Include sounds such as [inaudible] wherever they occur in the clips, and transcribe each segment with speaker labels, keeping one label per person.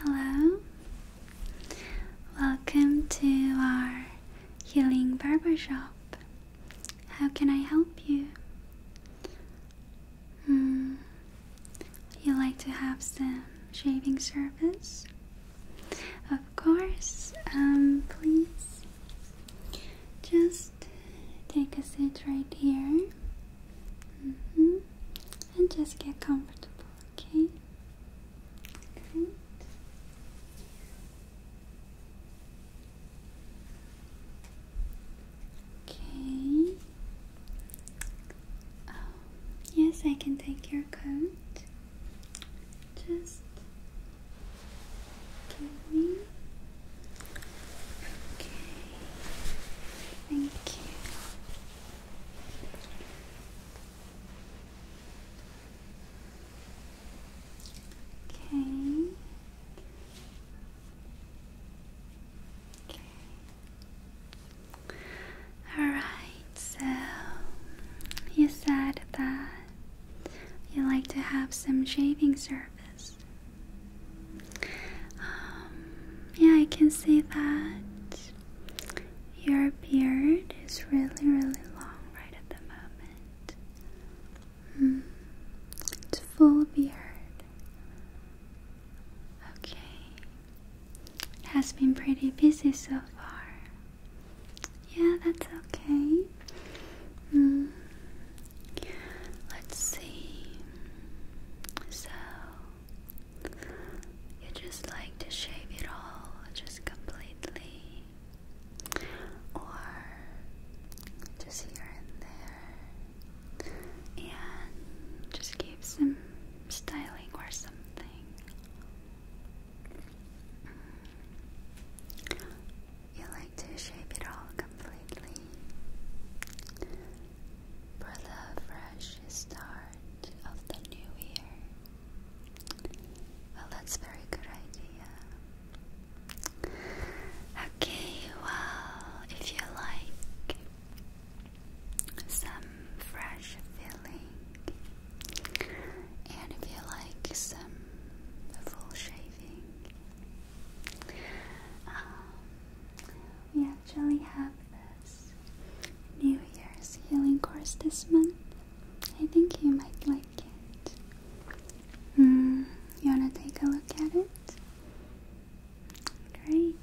Speaker 1: Hello, welcome to our healing barbershop. How can I help you? Hmm. You like to have some shaving service? Of course. Um, please just take a seat right here. -hmm. And just get comfortable, okay? Great. Okay. Oh, yes, I can take your coat. Just give me. Okay. Thank you. Okay. Okay. Alright, so you said that you like to have some shaving service. Um, yeah, I can see that your beard is really, really long right at the moment. Hmm. it's full beard. Okay. It has been pretty busy so far. Yeah, that's okay. Hmm. Let's see. So, you just like to shave it all just completely, or just here and there, and just give some styling or something. You like to shape it all completely for the fresh start of the new year. Well, that's very good idea. Okay, well, if you like some fresh filling, and if you like some full shaving, um, we actually have this New Year's healing course this month. I think you might like it. Hmm, you want to take a look at it? Great.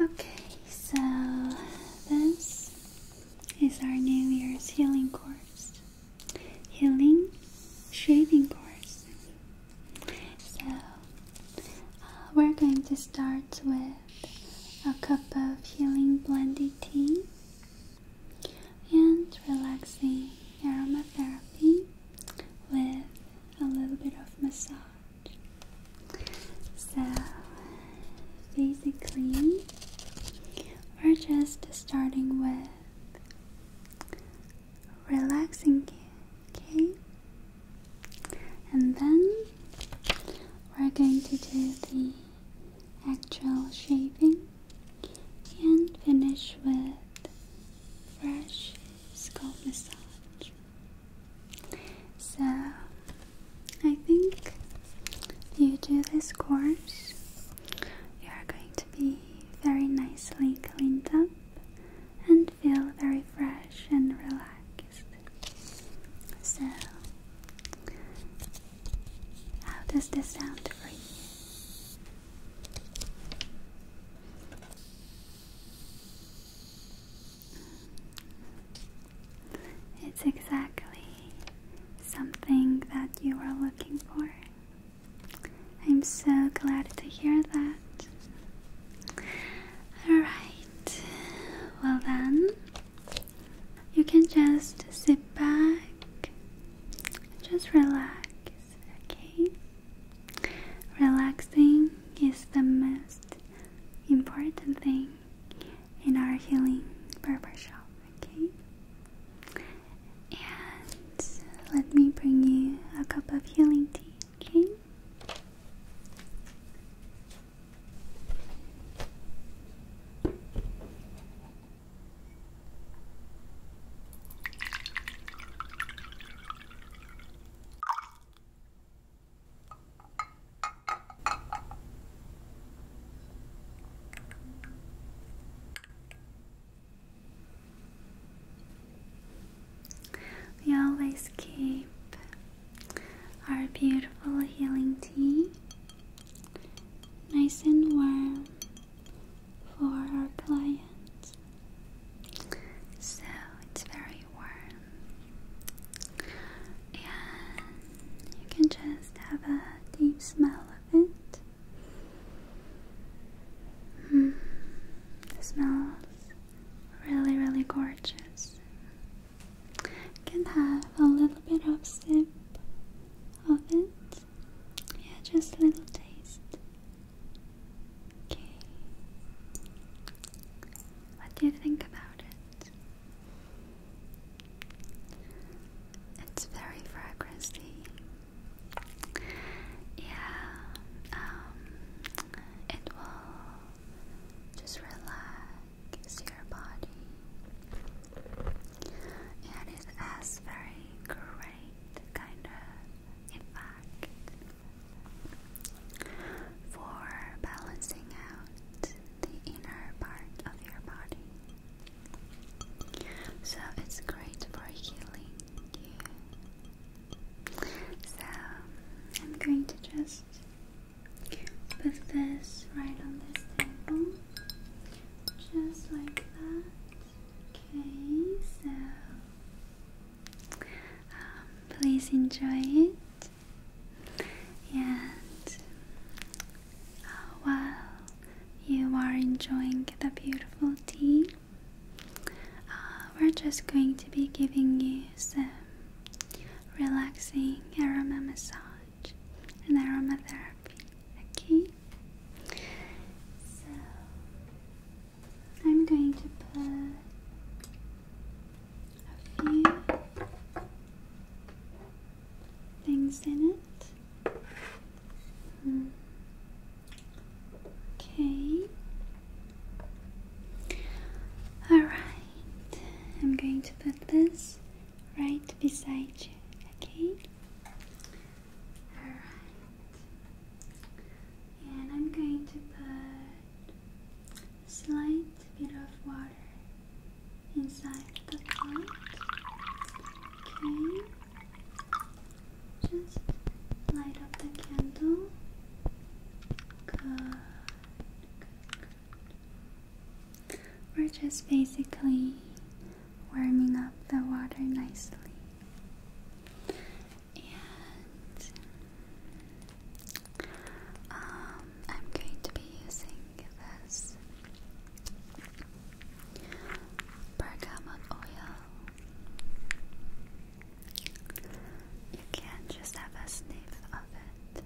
Speaker 1: Okay, so this is our New Year's healing course. Healing shaving course. So uh, we're going to start with a cup of healing blended tea and relaxing aromatherapy with a little bit of massage. So, basically, we're just starting with relaxing, okay? And then we're going to do the actual shaving and finish with fresh scalp massage. So I think if you do this course, you are going to be very nicely cleaned up and feel very fresh and relaxed. So, how does this sound for you? It's exactly something that you were looking for. I'm so glad to hear that. Alright, well then, you can just sit back, just relax, okay? Relaxing is the most important thing in our healing barber shop, okay? And let me bring you a cup of healing tea, okay? We always keep our beautiful healing tea nice and warm for our clients. So it's very warm, and you can just have a deep smell of it. it mm. smells really, really gorgeous can have a little bit of sip of it. Yeah, just a little taste. Okay. What do you think about it? It's very fragrancy. Yeah, um, it will just relax is your body. And it has very great kind of effect for balancing out the inner part of your body. So it's great for healing So I'm going to just Put this right on this table, just like that. Okay, so um, please enjoy it. And uh, while you are enjoying the beautiful tea, uh, we're just going to be giving you some relaxing aroma massage massage and aromatherapy. Okay? So, I'm going to put a few things in it. Hmm. Okay. Alright, I'm going to put this right beside you, okay? Alright. And I'm going to put a slight bit of water inside the pot. Okay. Just light up the candle. Good. We're just basically warming up the water nicely. And um, I'm going to be using this bergamot oil. You can just have a sniff of it.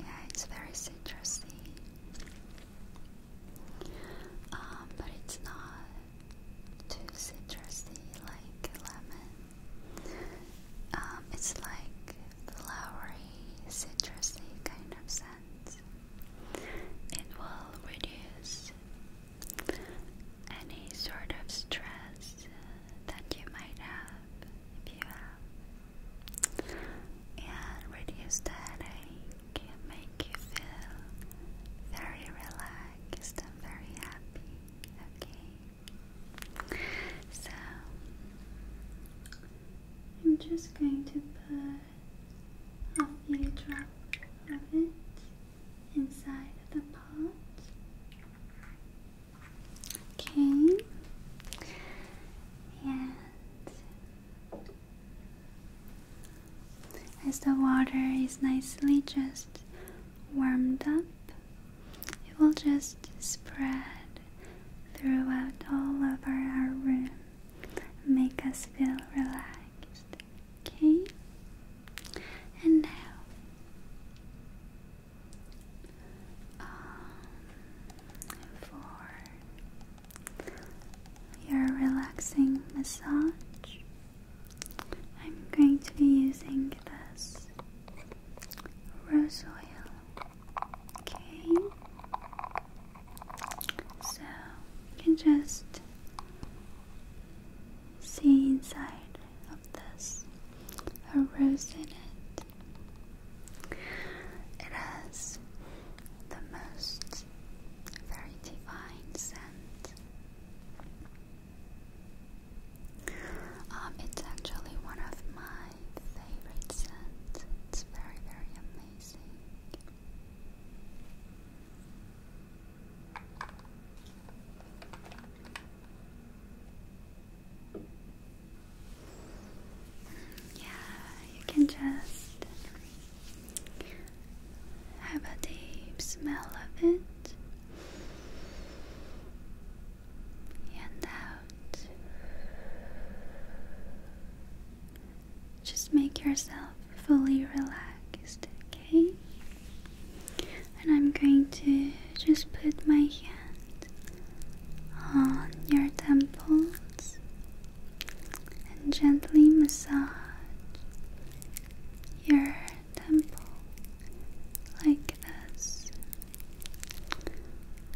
Speaker 1: Yeah, it's very citrusy. Um, but it's not too citrusy like lemon. Um, it's like flowery, citrusy kind of scent. It will reduce any sort of stress that you might have if you have, and reduce the headache, and make you feel very relaxed and very happy. Okay, so I'm just going to put a few drops of it inside of the pot. Okay. And as the water is nicely just warmed up, it will just spread throughout all over our room, make us feel relaxed. Okay? And now um, for your relaxing massage. I'm going to be using this rose oil. Okay, so you can just see inside from this, a rose in it. It has the most very divine scent. Um, it's actually one of my favorite scents. It's very, very amazing. Yeah, you can just have a deep smell of it. And out. Just make yourself fully relaxed, okay? and I'm going to just put my hand on your temples and gently massage your temple like this.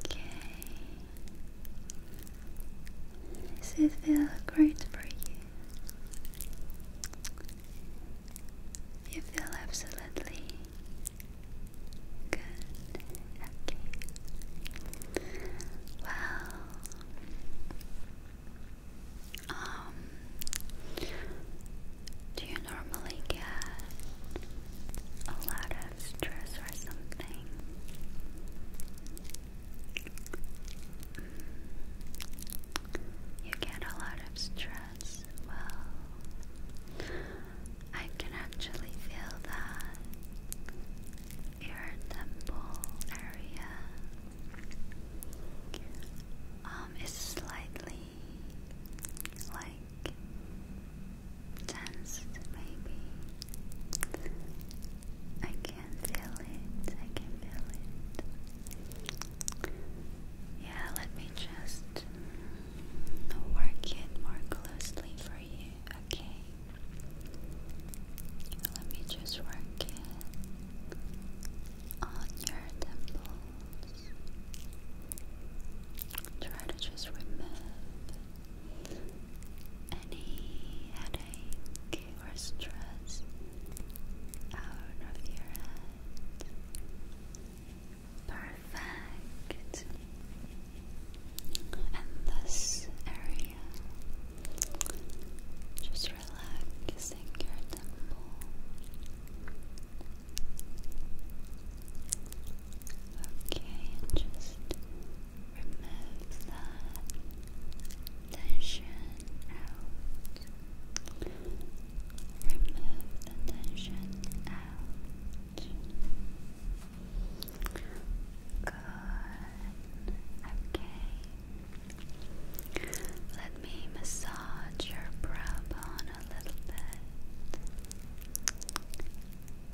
Speaker 1: Okay. Does it feel great for you? You feel absolutely Good. Okay. Well, um, do you normally get a lot of stress or something? Mm. You get a lot of stress as well. I can actually feel that ear temple area um, is slightly like tensed, maybe. I can feel it, I can feel it. Yeah, let me just I'll work it more closely for you, okay? Let me just work it on your temples. Try to just remove any headache or stress out of your head. Perfect. And this area, just relaxing your temple. Okay, just remove that tension out. Remove the tension out. Okay. Let me massage your brow bone a little bit.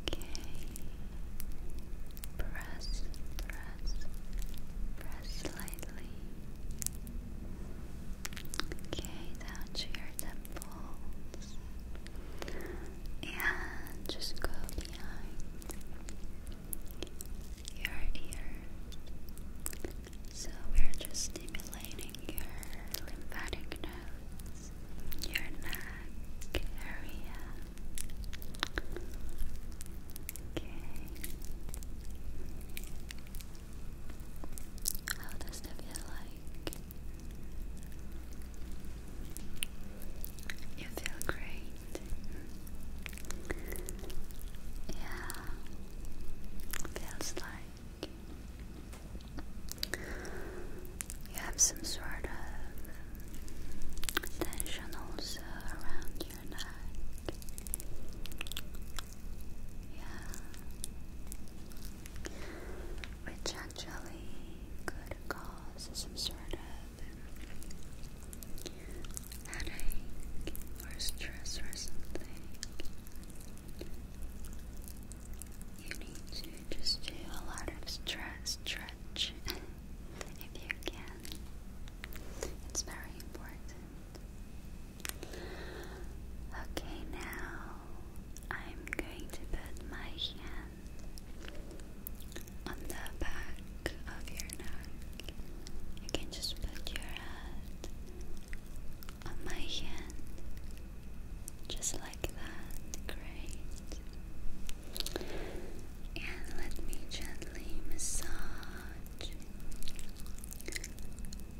Speaker 1: Okay. Press, press, press slightly. Okay, down to your temples. And just go behind your ears. So we're just stimulating your lymphatic nodes, your neck area. Okay. How does that feel like? You feel great. Yeah, feels like you have some sort of tension also around your neck. Yeah, which actually could cause some sort of headache or stress or something. You need to just do a lot of stress stretch [laughs] if you can. It's very important. Okay, now I'm going to put my hand on the back of your neck. You can just put your hand on my hand, just like that. Great. And let me gently massage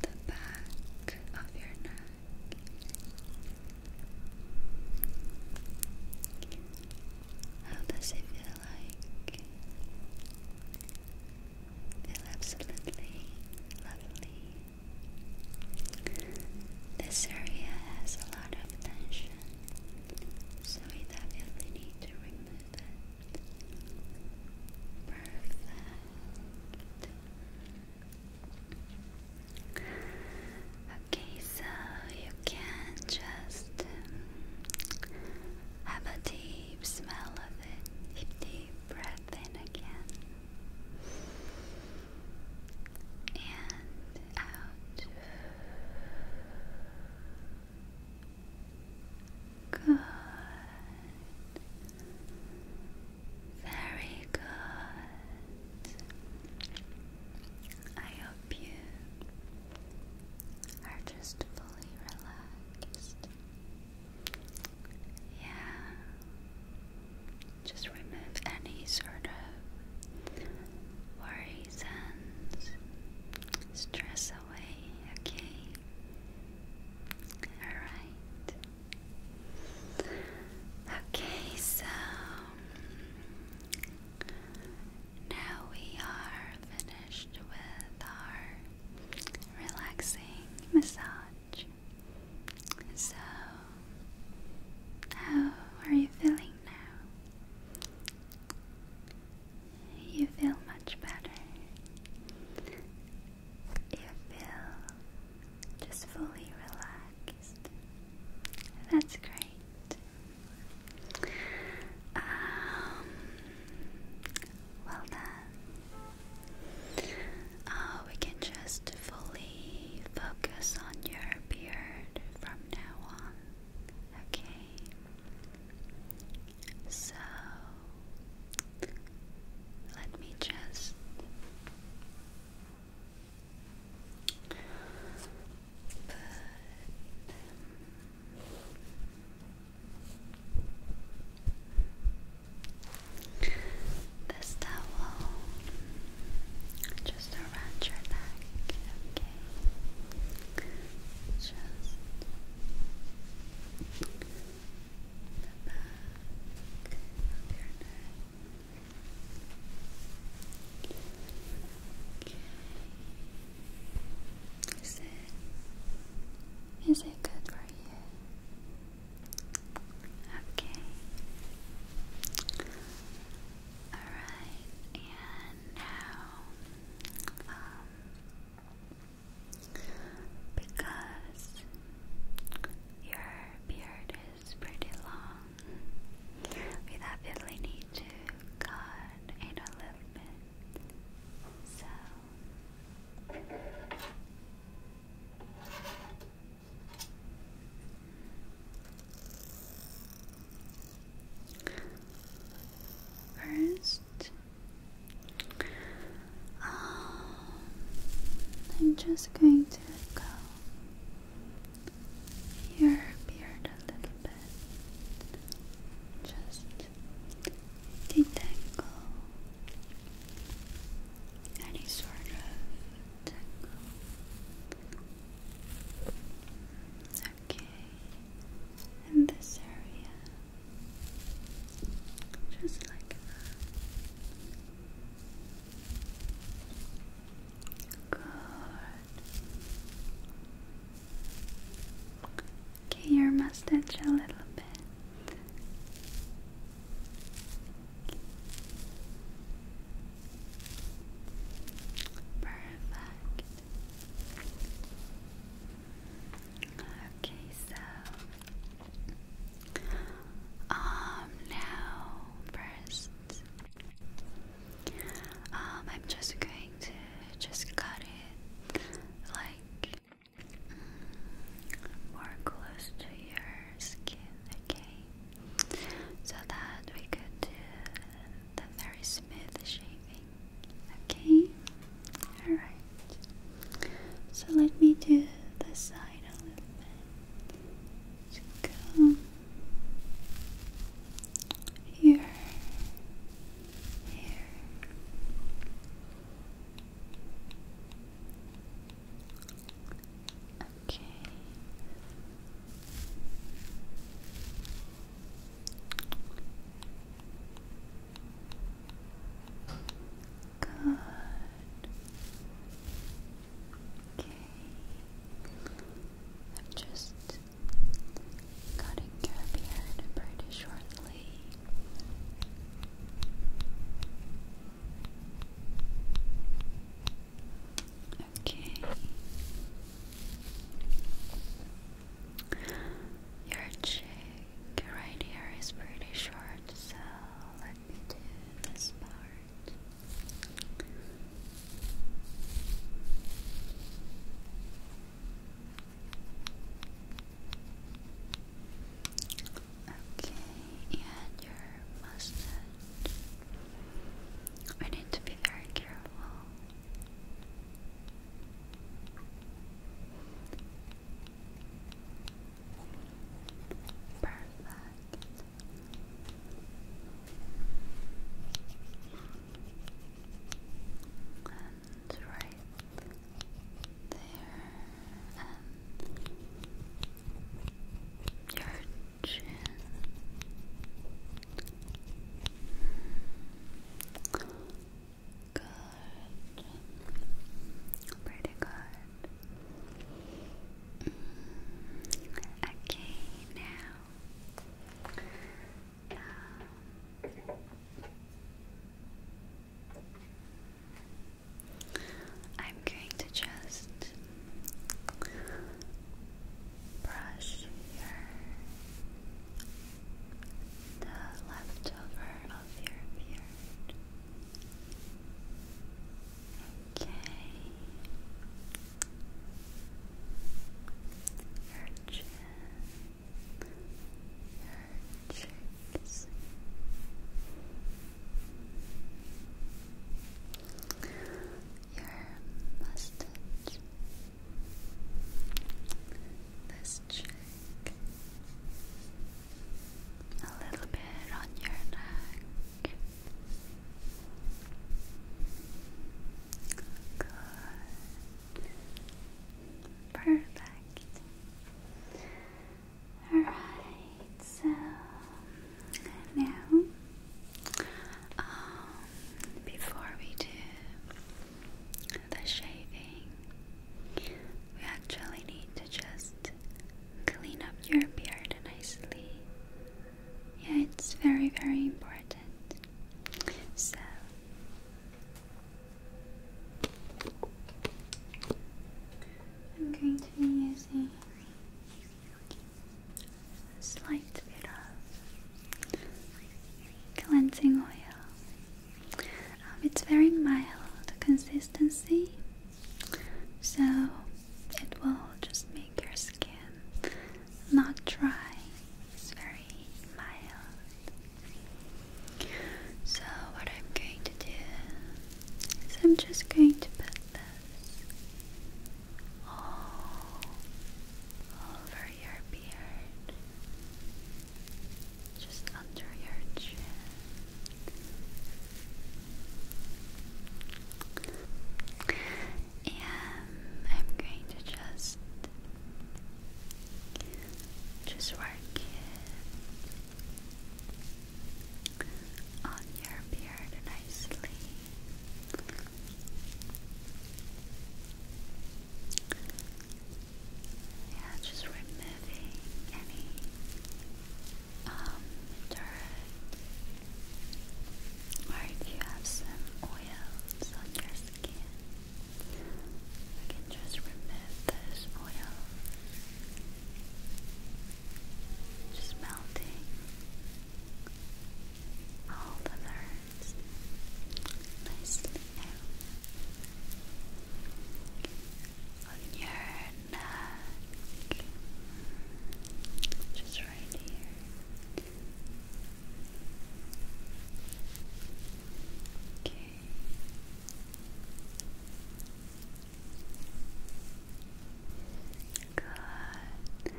Speaker 1: the back of your neck. How does it feel like? Feel absolutely lovely. This area has a lot of tension, so we definitely need to remove it. Perfect. Okay, so you can just um, have a deep smell of it, deep, deep breath in again and out. Good. Very good. I hope you are just fully relaxed. Yeah. Just remove any sort of worries and stress away, okay? Alright. Okay, so now we are finished with our relaxing massage. So, how are you feeling now? You feel much better. You feel just fully relaxed. That's great. Um, well done. Oh, we can just fully focus on your beard from now on. Okay. So let me just but, um, this towel just around your neck, okay? Just is it is it good for you? Okay. Alright, and now um because your beard is pretty long. We definitely need to cut it a little bit. So First, um, I'm just going to go your beard a little bit. Just detangle any sort of tangle. Okay, in this area. Just like that. Okay, your mustache a little bit. Perfect. Okay, so um, now, first, um, I'm just going to just cut it like mm, more close to your skin, okay? So that we could do the very smooth shaving, okay? Alright. So let me do the side a little bit. Just here, here. Okay. Good. Okay. I'm just cutting your beard pretty shortly. Okay. Your cheek right here is pretty short, so let me do this part. Okay, and your mustache. I need to be very careful. Perfect. And right there. And your chin. Good. Pretty good good. Okay, now. Um, I'm going to just brush your the leftover of your beard. Okay. Your chin, your cheeks. Your mustache. This cheek a little bit on your neck. Perfect. Alright, so now, um, before we do the shaving, we actually need to just clean up your beard nicely. Yeah, it's very, very important. So, I'm going to be using a slight bit of cleansing oil. Um, it's very mild consistency so it will just make your skin not dry. It's very mild. So, what I'm going to do is I'm just going to put this all over your beard, just under your chin. And I'm going to just just work it on your beard nicely. Yeah, just removing any um, dirt, or if you have some oils on your skin, we can just remove this oil. Just melting all the nerves nicely out on your neck, just right here. Okay. Good.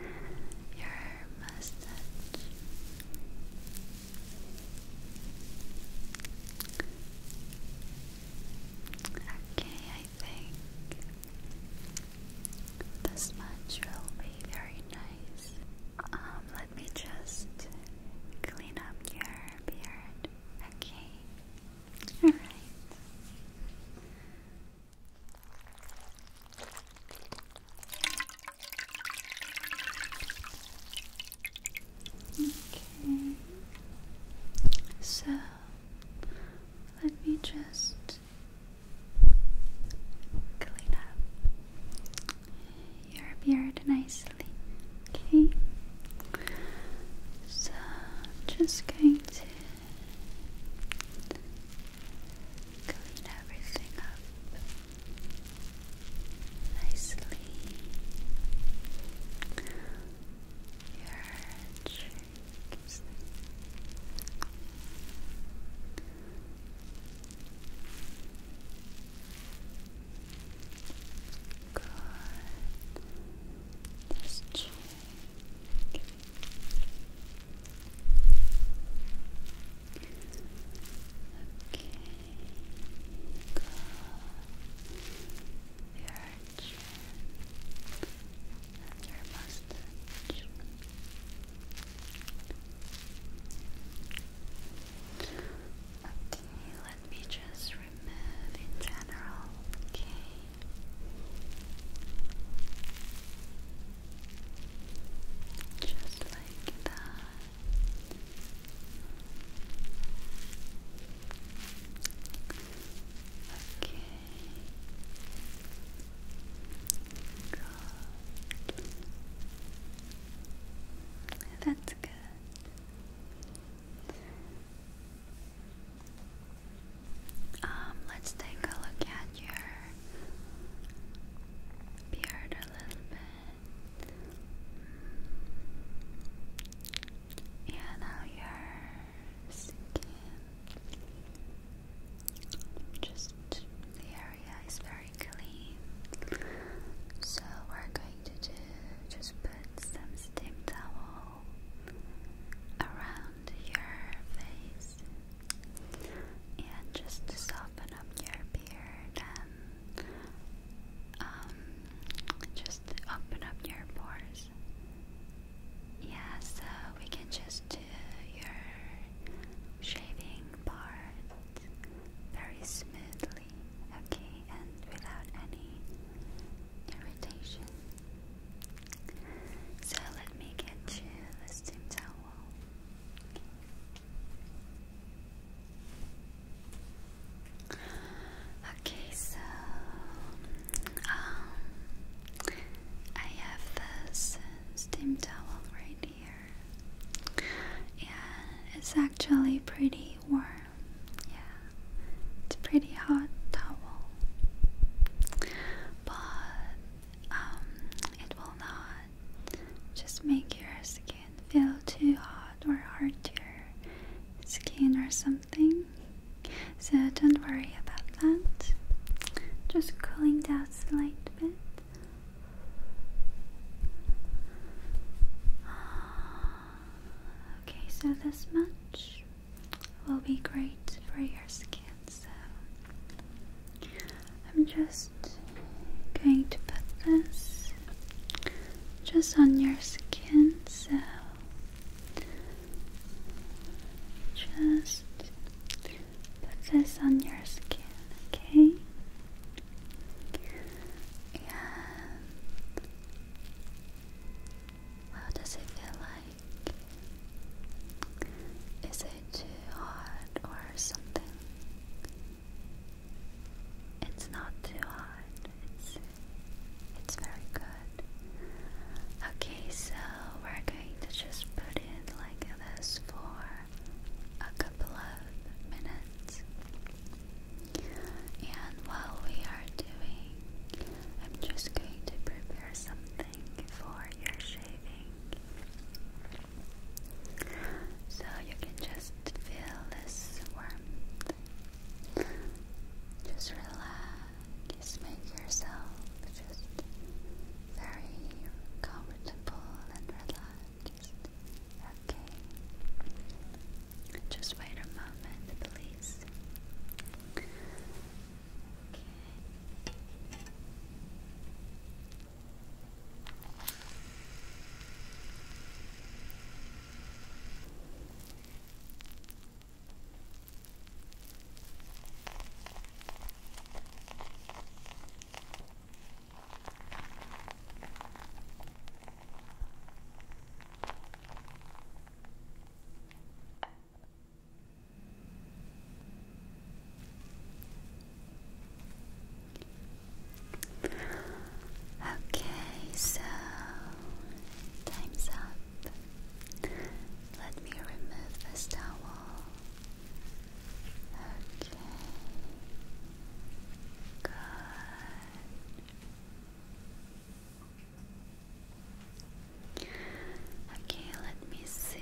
Speaker 1: Your mustache. Okay, think this much will be very nice. Um, let me just clean up your beard. Okay. Alright. Okay. So let me just clean up your beard nicely. Okay, so just going to clean everything up nicely your cheeks. Good. This cheek. Okay. Good. Your chin and Okay, let me just remove in general, okay? Just like that. Okay. Good. That's good. Um, let's take a look at your beard a little bit. And now your skin, just the area is very clean. So we're going to do just put some steam towel around your face and just to soften up your beard and um, just open up your pores yeah, so we can just do your shaving part very smoothly, okay, and without any irritation. So let me get you this towel. Okay, so um, I have this steam towel right here, and it's actually pretty warm. Yeah, it's pretty hot towel, but um, it will not just make your skin feel too hot or hurt your skin or something. So don't worry about that. Just cooling down a slight bit. [sighs] Okay, so this much will be great for your skin. So I'm just going to put this just on your skin so just put this on your skin, okay? And how does it feel like? Is it too hot or something? It's not too hot. It's it's very good. Okay, so we're going to just put in like this for a couple of minutes. And while we are doing, I'm just going to prepare something for your shaving. So you can just feel this warmth. Just relax just make yourself just very comfortable and relaxed. Okay. Just wait a moment, please. Okay. Okay. Okay, so time's up. Let me remove this towel. Okay. Good. Okay, let me see.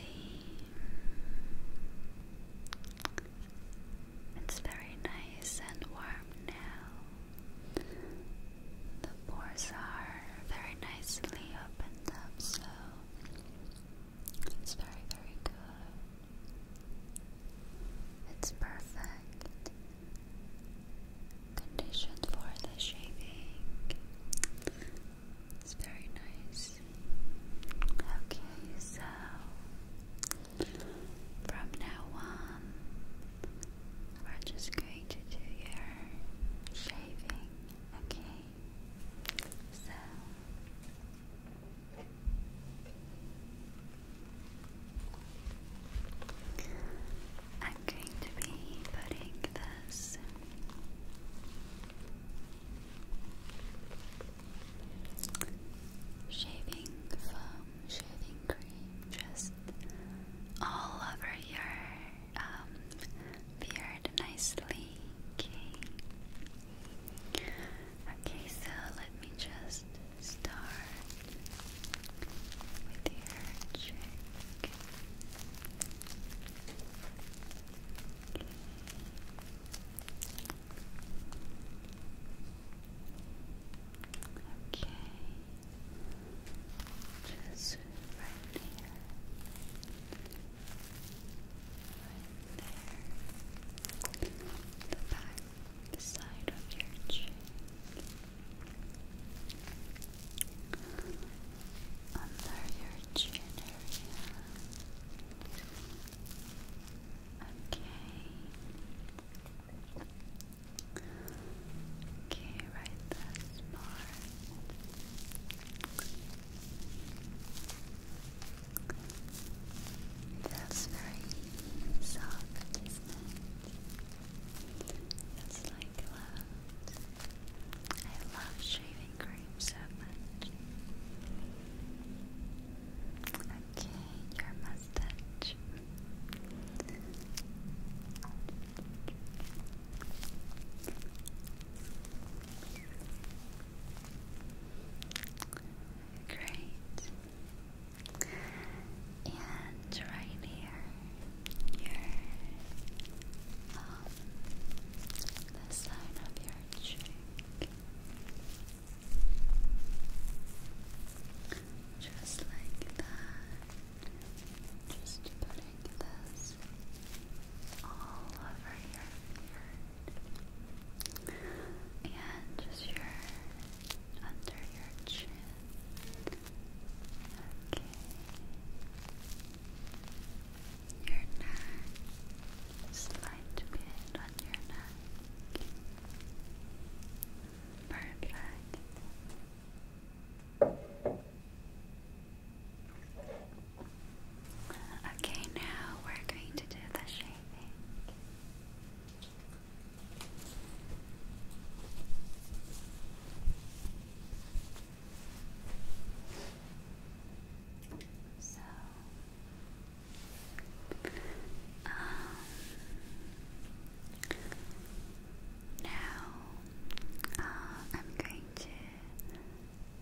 Speaker 1: It's very nice and warm now. The pores are very nicely opened up, so it's very, very good. It's perfect condition for the shaving. It's very nice. Okay, so from now on, we're just going to do your shaving, okay? So I'm going to be putting this shaving foam, shaving cream just all over your um, beard nicely. Okay. so let me just start with your cheek. Okay. Just right there. Right there. The back, the side of your cheek. Under your chin area. Okay. Okay, right there, smart. Feels very soft, That's like love. I love shaving cream so much. Okay, your mustache Great. And right here, your um, the side of your cheek, just like that. Just putting this all over your beard and just your under your chin. Okay. Your neck. Slight bit on your neck. Perfect. Okay, now we're going to do the shaping. So, um, now uh, I'm going to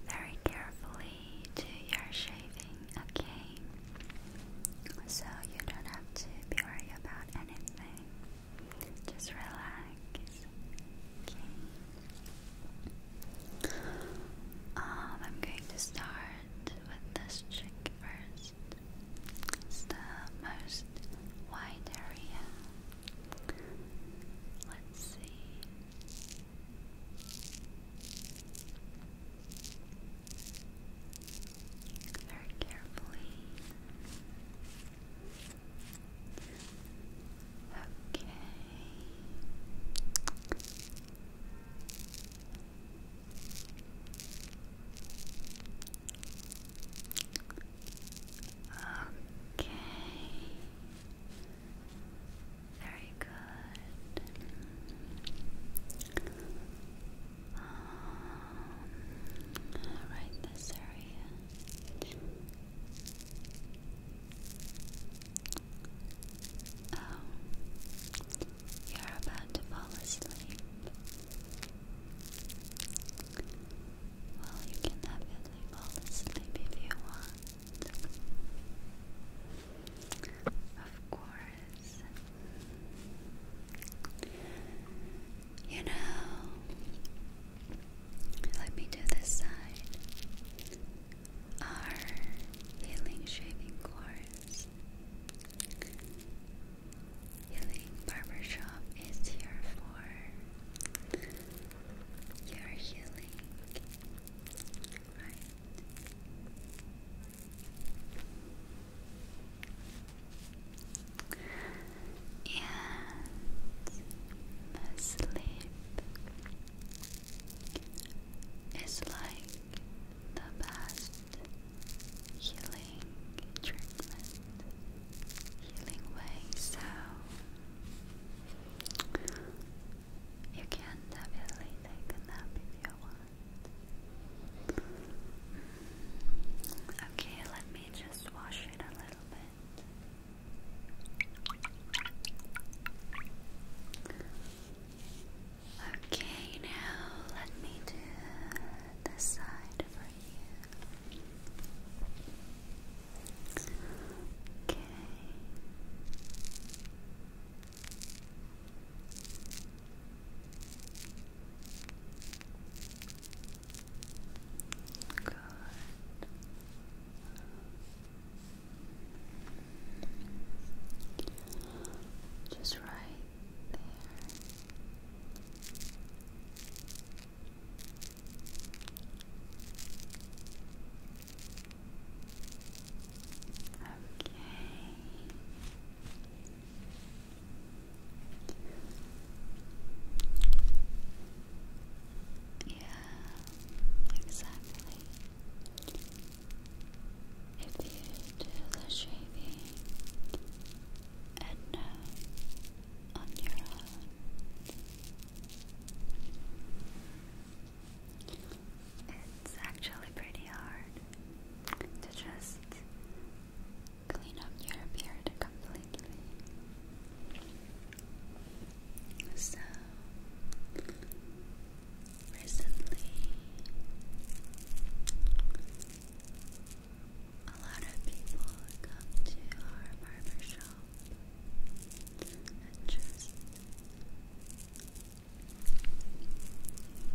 Speaker 1: very carefully do your shaving, okay? So you don't have to be worried about anything. Just relax, okay? Um, I'm going to start with this cheek first. the most wide area Let's see. Very carefully. Okay. Okay. Very good. Um, right this area. Oh, you're about to fall asleep. Well, you can have fall asleep if you want. Of course. You know, let me do this side. Our healing shaving course Healing Barbershop is here for your healing, And sleep is like the best healing healing treatment, healing way, so you can definitely take a nap if you want. Okay, let me just wash it a little bit. Okay, now let me do this side Okay. Good. Just right there. Yeah, exactly. If you do the shaving and on your own. It's actually pretty hard to just clean up your beard completely. So, recently a lot of people come to our barber shop and just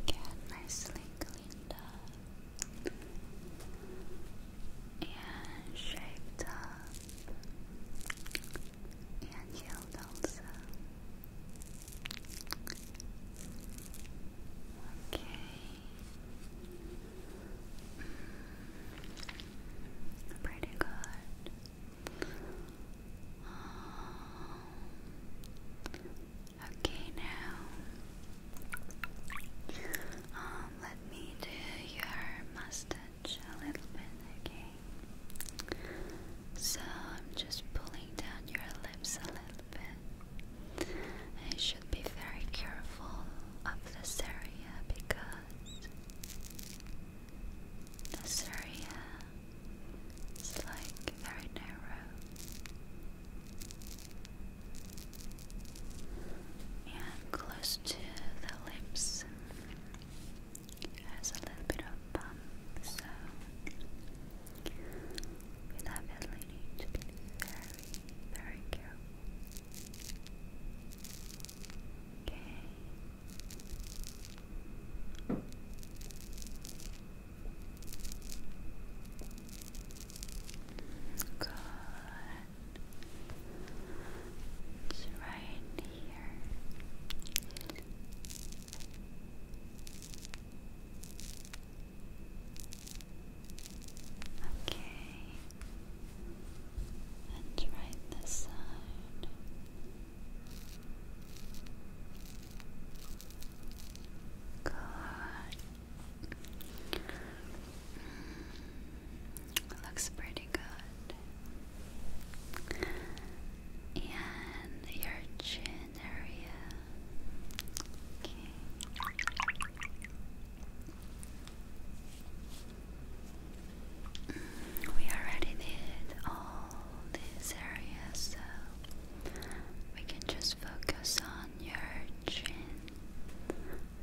Speaker 1: get nicely cleaned up and shaped up and healed also. Okay, Pretty good. Um, okay, now um, let me do your mustache a little bit, okay? So I'm just pulling down your lips a little bit. I should be very careful of this area because the area is like very narrow. And close to the lips has a little bit of bump, so we definitely need to be very, very careful. Okay. Good. right here. Okay. And right this side. Good. looks pretty good. And your chin area. Okay. We already did all these areas, so we can just focus on your chin.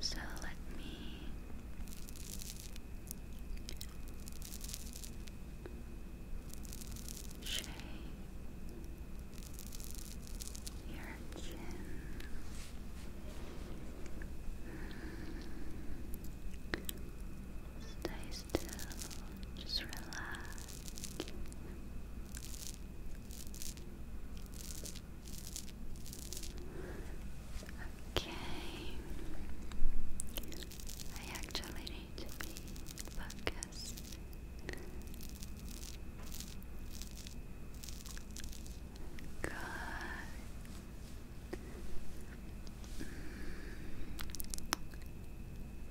Speaker 1: So let me shake your chin. Hmm. Stay still, just relax. Okay, I actually need to be focused. Good.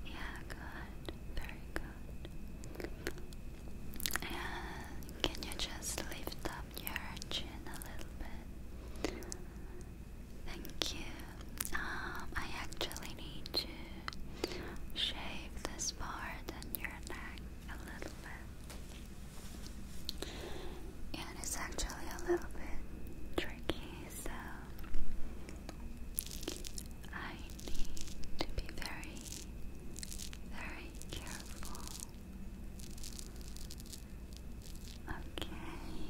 Speaker 1: Yeah, good. Very good. And can you just lift up your chin a little bit? Thank you. Um, I actually need to shave this part and your neck a little bit and it's actually a little bit tricky, so I need to be very, very careful. Okay,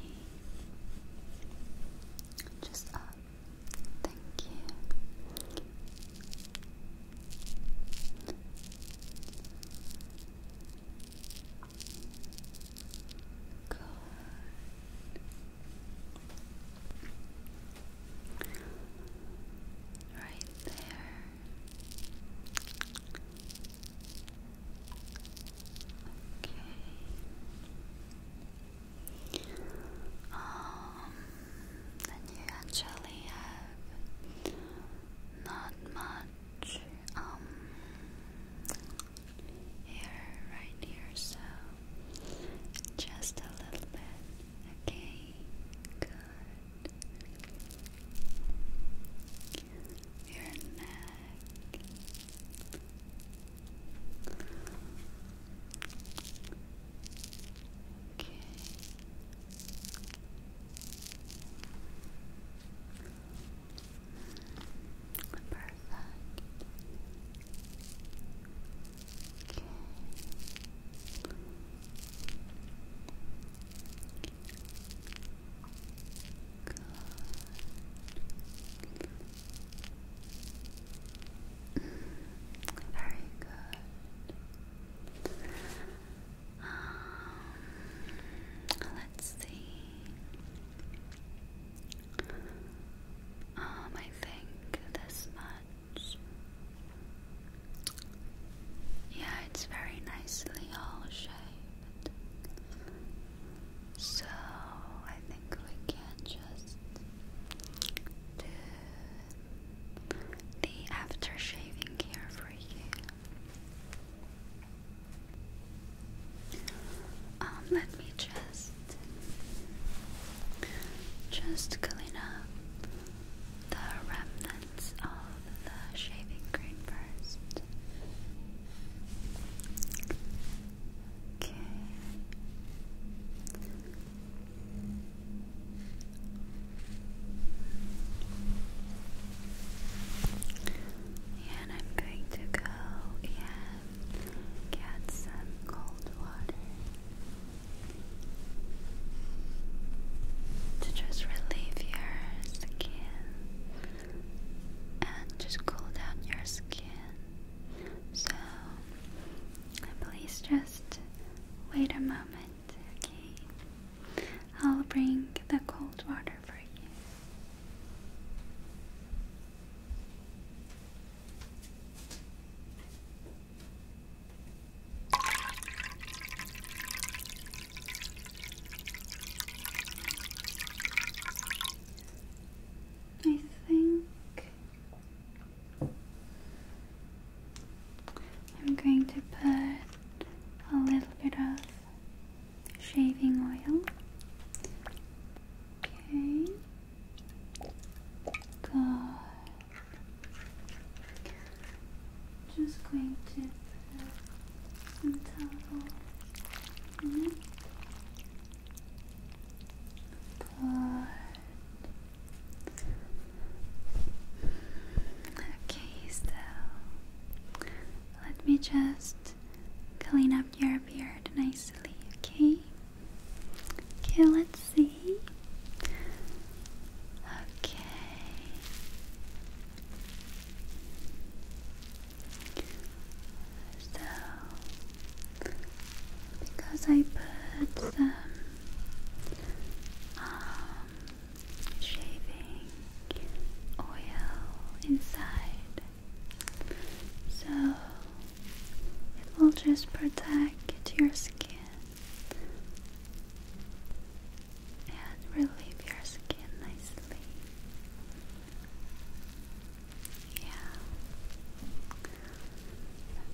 Speaker 1: just up. Uh, thank you. Good. Right there. Okay. Um then you actually have not much um, hair right here, so just a little bit. Okay, good. Your neck. Okay. Perfect. Okay. Good. Very good. Um, let's see. Um, I think this much. Yeah, it's very nicely all shaped. So I think we can just do the after shaving care for you. Um, let me just just clean up the remnants of the shaving cream first. Okay. And I'm going to go and get some cold water to just relieve your skin and just cool down your skin. So please just wait a moment okay? I'll bring the cold water for you. I think I'm going to put a little bit of shaving oil. Okay. Good. Just going to put some towel in it. Good. Okay, so let me just clean up your beard nicely, okay? Okay, let's see. Okay. So, because I put some um, shaving oil inside. So it will just protect your skin and relieve your skin nicely. Yeah.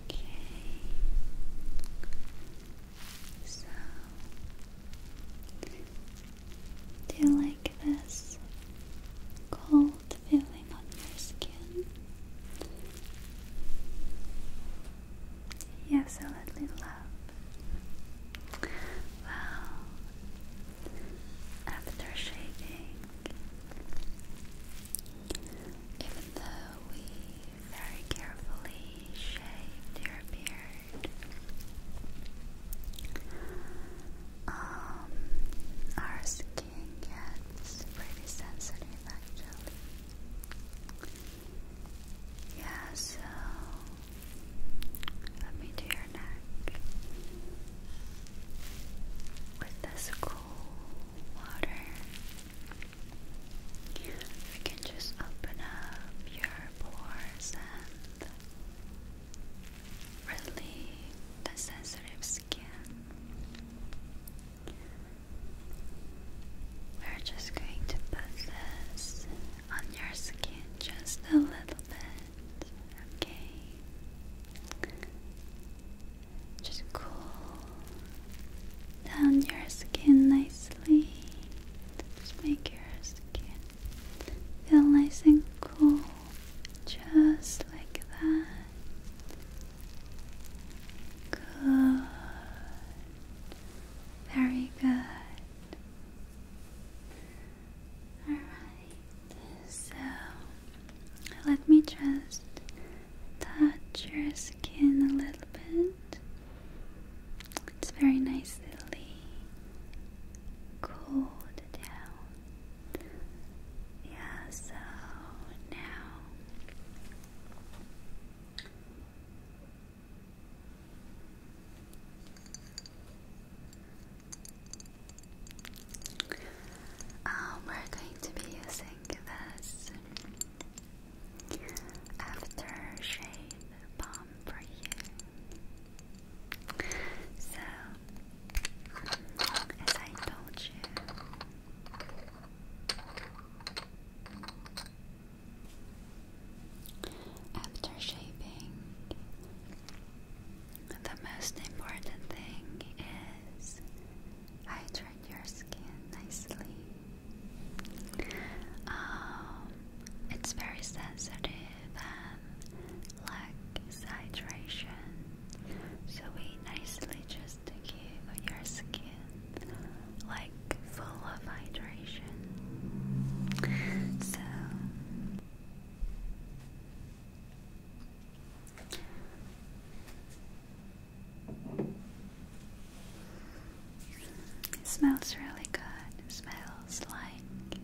Speaker 1: Okay do you like this cold feeling on your skin? You absolutely love. Well, after shaving, even though we very carefully shave your beard. Um, our skin gets pretty sensitive actually. Yeah, so let me do your neck with this cool water. You can just open up your pores and relieve the sensitive skin. We're just going to put this on your skin just a little bit, okay? Just cool down your skin nicely. Just make your skin feel nice and cool, just like that. Good. Very good. Alright, so let me just touch your skin a little bit. It's very nicely cooled down. Yeah, so now um, we're going to be using this after shade balm for you. So, as I told you, after shaping, the most important thing is hydrate your skin nicely. Um, it's very sensitive and lacks hydration, so we nicely just give your skin like full of hydration. So. It smells really good. It smells like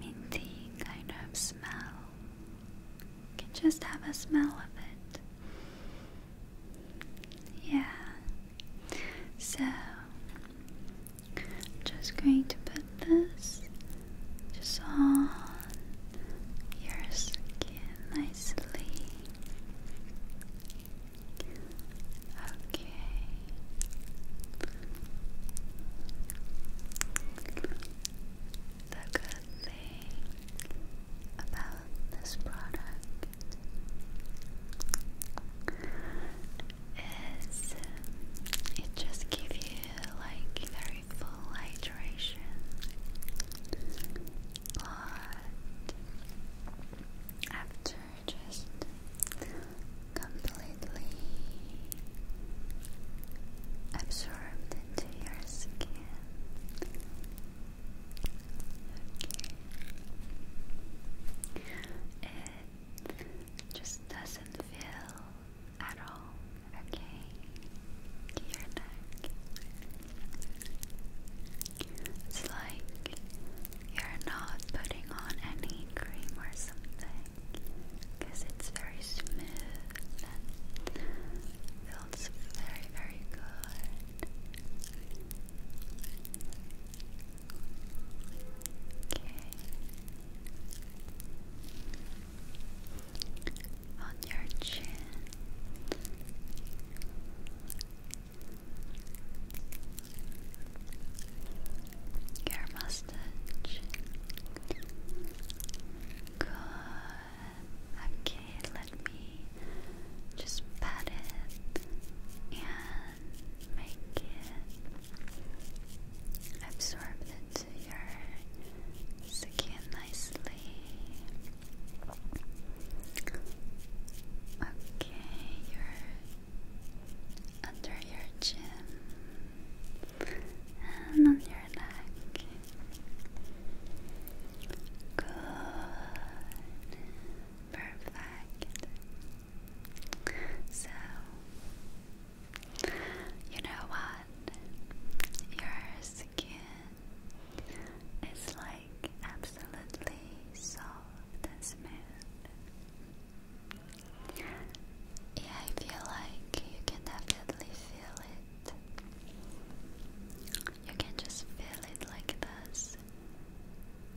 Speaker 1: minty kind of smell. just have a smell of it. Yeah. So just going to put this just on your skin nicely. Okay. The good thing about this product is um, it just gives you like very full hydration, but after just completely absorbed into your skin. It just doesn't feel at all okay to your neck. It's like you're not putting on any cream or something because it's very smooth and feels very, very good. Okay. On your chin. Your mustache. Good. Okay, let me just pat it and make it absorb into your skin nicely. Okay, you under your chin and on your neck. Good, perfect. So, you know what? Your skin it's like absolutely soft and smooth. Yeah, I feel like you can definitely feel it. You can just feel it like this.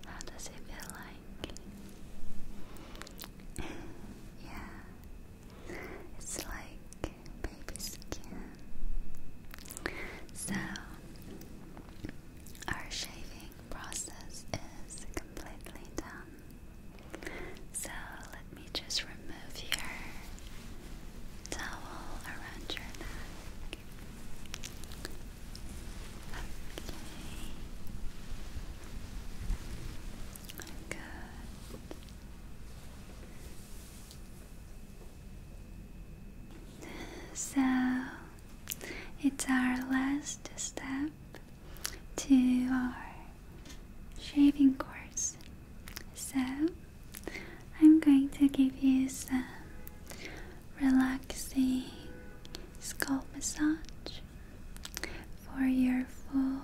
Speaker 1: How does it feel like? [laughs] yeah, it's like baby skin. So, our shaving process is completely done. So let me just remove your towel around your neck. Okay. Good. So it's our last step to our shaving course. So I'm going to give you some relaxing scalp massage for your full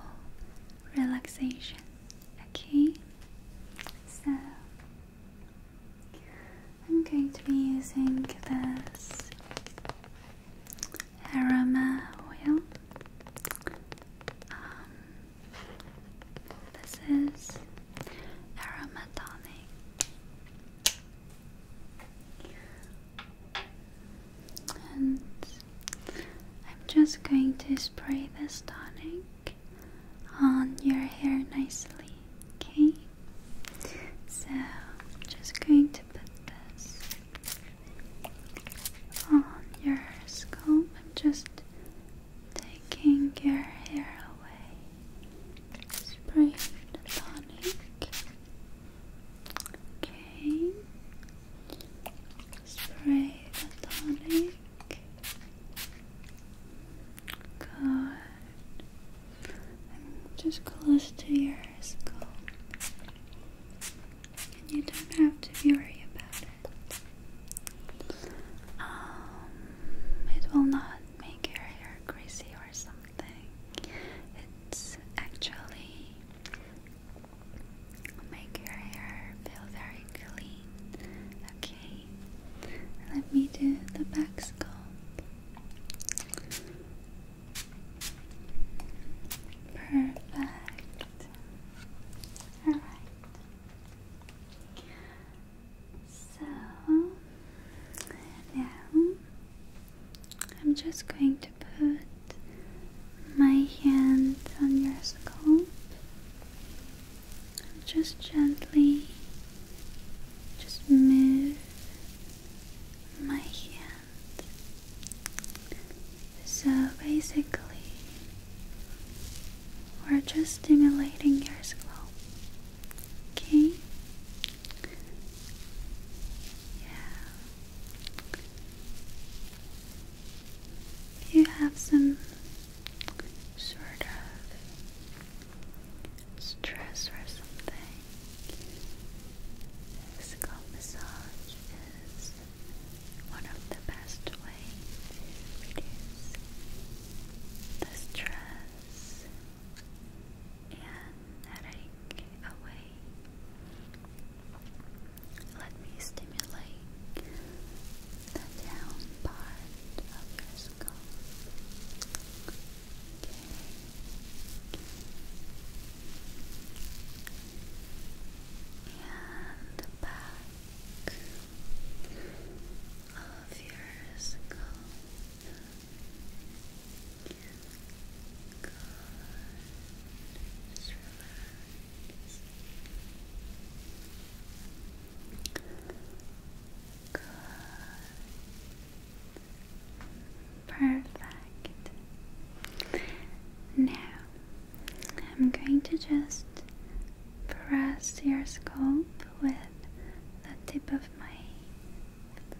Speaker 1: relaxation. Okay? So I'm going to be using this aroma oil. Um, this is aromatonic. And I'm just going to spray this tonic on your hair nicely, okay? So, I'm just going to put this on your scalp. I'm just taking your hair away. Spray the tonic. Okay. Spray the tonic. Good. I'm just close to your skull. And you don't have to worry about it. Um, it will not make your hair greasy or something. It's actually make your hair feel very clean. Okay. Let me do the back scope. Perfect. Alright. So now I'm just going to put my hand on your scalp just gently just move my hand. So basically, we're just stimulating your scalp. Okay? Yeah. You have some sort of stress or something. Physical massage is one of the best ways to reduce the stress and headache away. Let me stimulate the down part of your skull. And the back of your skull. Good. Good. Perfect. Now, I'm going to just press your scalp with the tip of my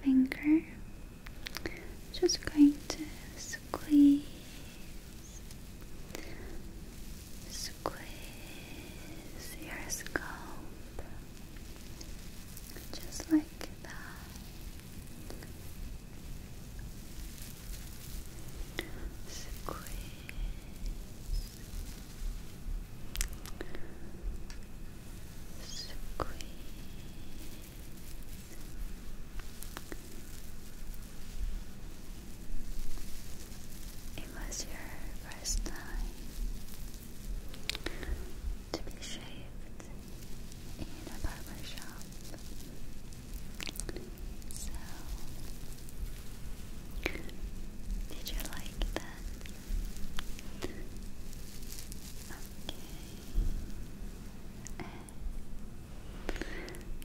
Speaker 1: finger. Just going to squeeze squeeze your scalp just like that. Squeeze, squeeze. It was your first time to be shaved in a barber shop. So, did you like that? Okay.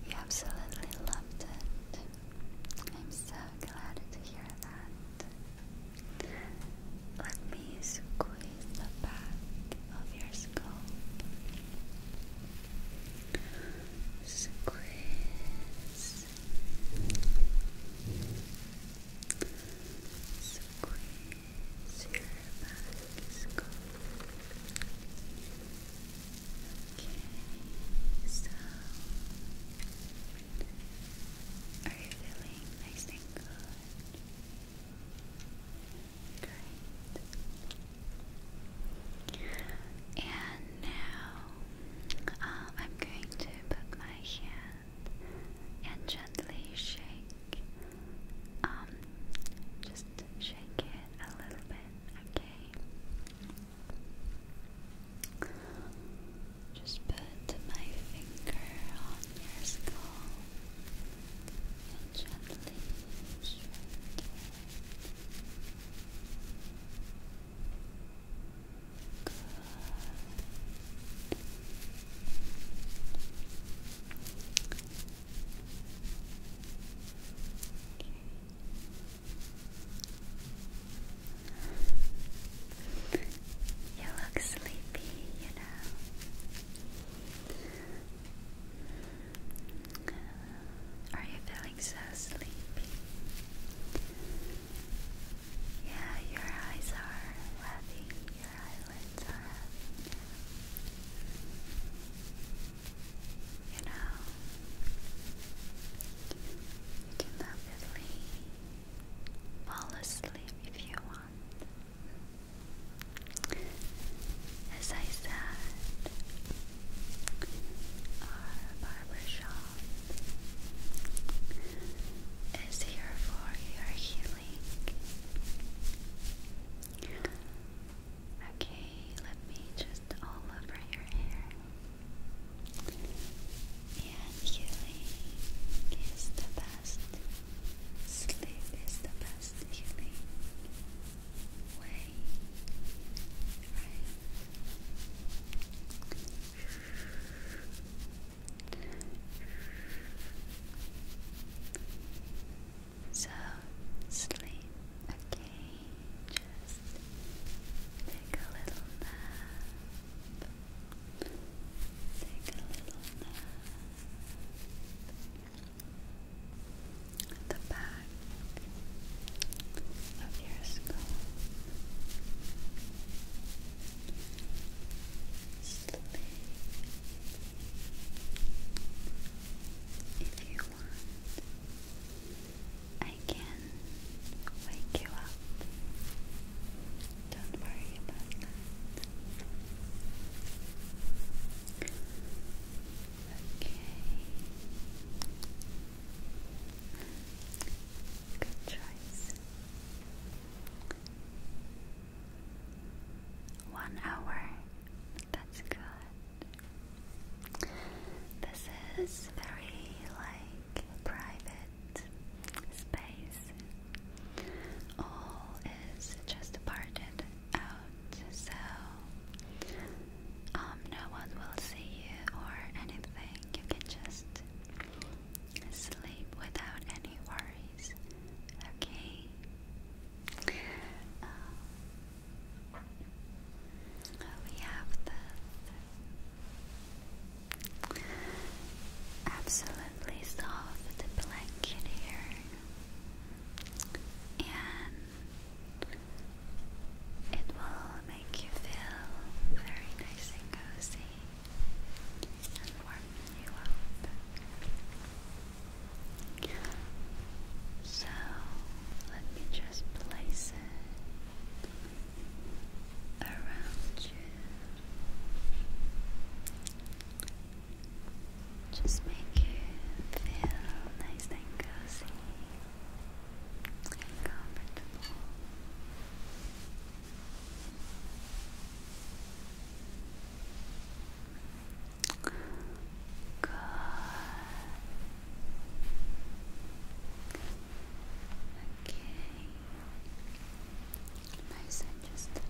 Speaker 1: You absolutely loved it. I'm so glad to hear that. Let me squeeze the back of your skull. Squeeze. Squeeze your back skull. Okay, so are you feeling nice and good? And now um, I'm going to put my hand and gently shake. Um, just shake it a little bit, okay? Just put my finger on your skull and gently stroke you look sleepy, you know. Are you feeling so sleepy? Yeah, your eyes are heavy, your eyelids are You know, cannot believe Fall asleep if you want. As I said, our barbershop is here for your healing. Okay, let me just all over your hair. And healing is the best. Sleep is the best way. So sleep, okay. Just take a little nap. Take a little nap the back of your skull. Sleep if you want. I can wake you up. Don't worry about that. Okay. Good choice. One hour. That's good. This is very like private space. All is just parted out, so um, no one will see you or anything. You can just sleep without any worries. Okay. Uh, we have the absolutely soft blanket here, and it will make you feel very nice and cozy and warm you up. So let me just place it around you. Just make you feel nice and cozy comfortable. Good. Okay. Nice and just fit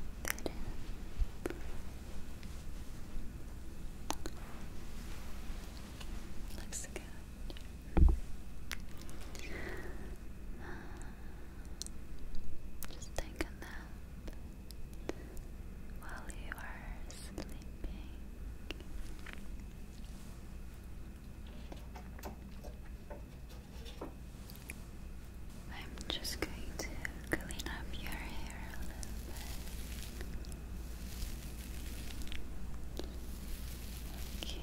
Speaker 1: just take a nap while you are sleeping. I'm just going to clean up your hair a little bit. Okay.